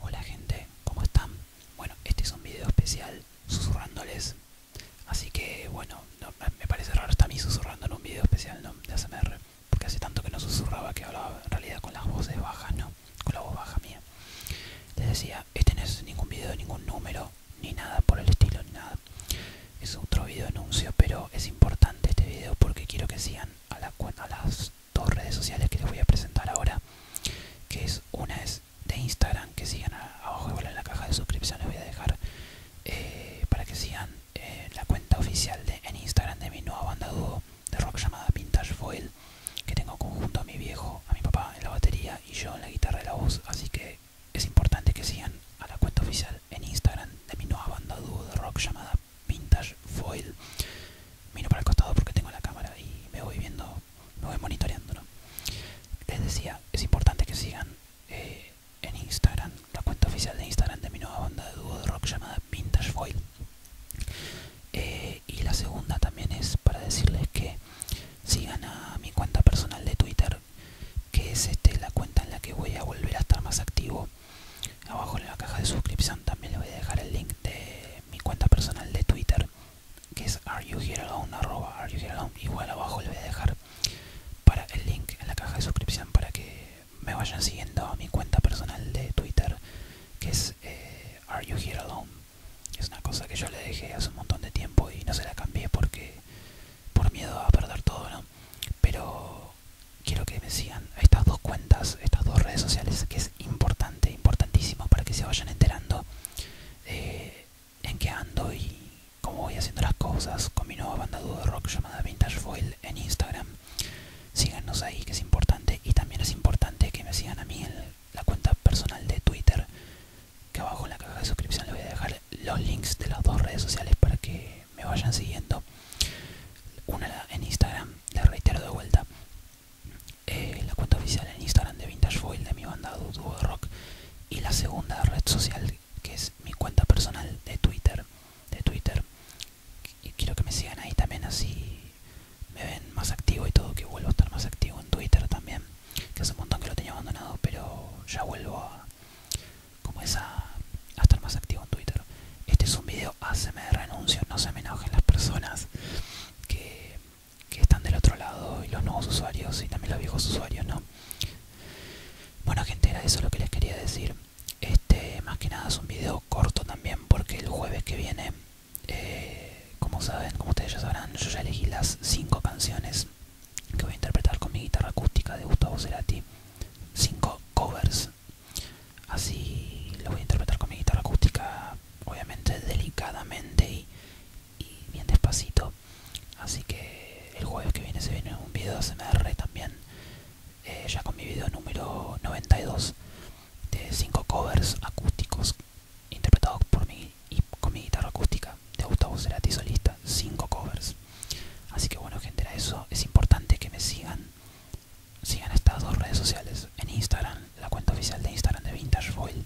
Hola gente, ¿cómo están? Bueno, este es un video especial susurrándoles. Así que bueno, me parece raro estar a mí susurrando en un video especial ¿no? de ASMR. Porque hace tanto que no susurraba que hablaba en realidad con las voces bajas, ¿no? Con la voz baja mía. Les decía, este no es ningún video, ningún número, ni nada por el estilo, ni nada. Es otro video anuncio, pero es importante este video porque quiero que sean a, la, a las dos redes sociales que les voy a presentar ahora que es una es de Instagram que sigan abajo en la caja de suscripción les voy a dejar eh, para que sigan eh, la cuenta oficial de, en Instagram de mi nueva banda dúo de rock llamada Vintage Foil que tengo conjunto a mi viejo, a mi papá en la batería y yo en la guitarra y la voz así que es importante que sigan a la cuenta oficial en Instagram de mi nueva banda dúo de rock llamada vintage foil miro para el costado porque tengo la cámara y me voy viendo me voy monitoreando les decía es importante que sigan eh, en instagram la cuenta oficial de instagram de mi nueva banda de dúo de rock llamada vintage foil eh, y la segunda también es para decirles que sigan a mi cuenta personal de twitter que es este, la cuenta en la que voy a volver a estar más activo Abajo en la caja de suscripción también le voy a dejar el link de mi cuenta personal de Twitter, que es areyouherealone, areyouherealone, igual abajo le voy a dejar para el link en la caja de suscripción para que me vayan siguiendo a mi cuenta personal de Twitter, que es eh, areyouherealone. Es una cosa que yo le dejé hace un montón de tiempo y no se la cambié porque por miedo a perder todo, ¿no? Pero quiero que me sigan a estas dos cuentas, estas dos redes sociales, que es importante, importantísimo para que se vayan enterando eh, en qué ando y cómo voy haciendo las cosas con mi nueva banda de rock llamada Vintage Foil en Instagram. Síganos ahí, que es importante, y también es importante que me sigan a mí en la cuenta personal de Twitter, que abajo en la caja de suscripción les voy a dejar los links de las dos redes sociales para que me vayan siguiendo. Una en Instagram, de reitero de vuelta. Eh, la cuenta oficial en Instagram de Vintage Foil de mi banda Duo de Rock. Y la segunda red social que es mi cuenta personal de Twitter. De Twitter. Y quiero que me sigan ahí también así me ven más activo y todo, que vuelvo a estar más activo en Twitter también. Que hace un montón que lo tenía abandonado, pero ya vuelvo a como esa a estar más activo en Twitter. Este es un video ACM de renuncio, no se me enojen las personas que, están del otro lado y los nuevos usuarios y también los viejos usuarios, ¿no? Bueno gente, era eso lo que les quería decir. Este más que nada es un video corto también porque el jueves que viene, eh, como saben, como ustedes ya sabrán, yo ya elegí las cinco canciones que voy a interpretar con mi guitarra acústica de Gustavo Cerati. Cinco covers. Así lo voy a interpretar con mi guitarra acústica, obviamente delicadamente y, bien despacito. Así que el jueves que viene se viene un video de SMR también, eh, ya con mi video número 92 de 5 covers acústicos interpretados por mi y con mi guitarra acústica de Gustavo Cerati solista, 5 covers. Así que bueno gente, A eso. Es importante que me sigan. Sigan estas dos redes sociales. En Instagram, la cuenta oficial de Instagram de Vintage Void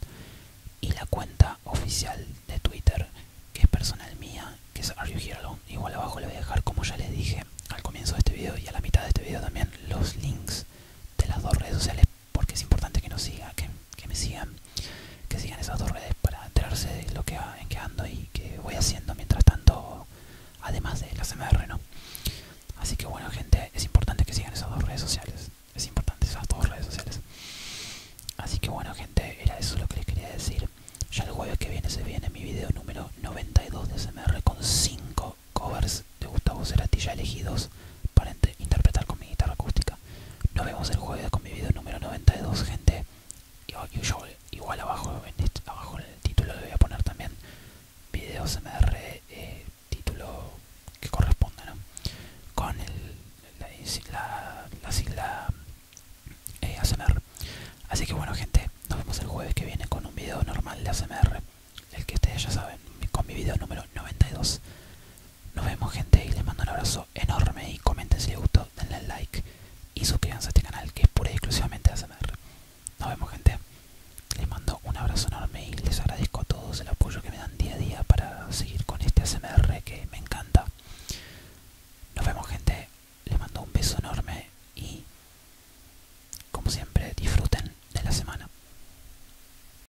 y la cuenta oficial de Twitter, que es personal mía, que es Are You Igual abajo le voy a dejar, como ya les dije al comienzo de este video y a la mitad de este video también, los links de las dos redes sociales porque es importante que nos siga, que me sigan que sigan esas dos redes para enterarse de lo que ando y que voy haciendo mientras tanto además de la CMR no así que bueno gente es importante que sigan esas dos redes sociales es importante esas dos redes sociales así que bueno gente era eso lo que les quería decir ya el jueves que viene se viene mi video número 92 de CMR con 5 covers de Gustavo Cerati ya elegidos para interpretar con mi guitarra acústica. Nos vemos el jueves con mi video número 92, gente. Igual, yo, igual abajo, en este, abajo en el título le voy a poner también videos MR, eh, título que corresponda, ¿no? Con el, la, sigla eh, Así que bueno, gente, nos vemos el jueves que viene con un video normal de ASMR. El que ustedes ya saben, con mi video número 92. Nos vemos gente y les mando un abrazo enorme y comenten si les gustó, denle like y suscríbanse a este canal que es pura y exclusivamente ASMR. Nos vemos gente, les mando un abrazo enorme y les agradezco a todos el apoyo que me dan día a día para seguir con este ASMR que me encanta. Nos vemos gente, les mando un beso enorme y como siempre disfruten de la semana.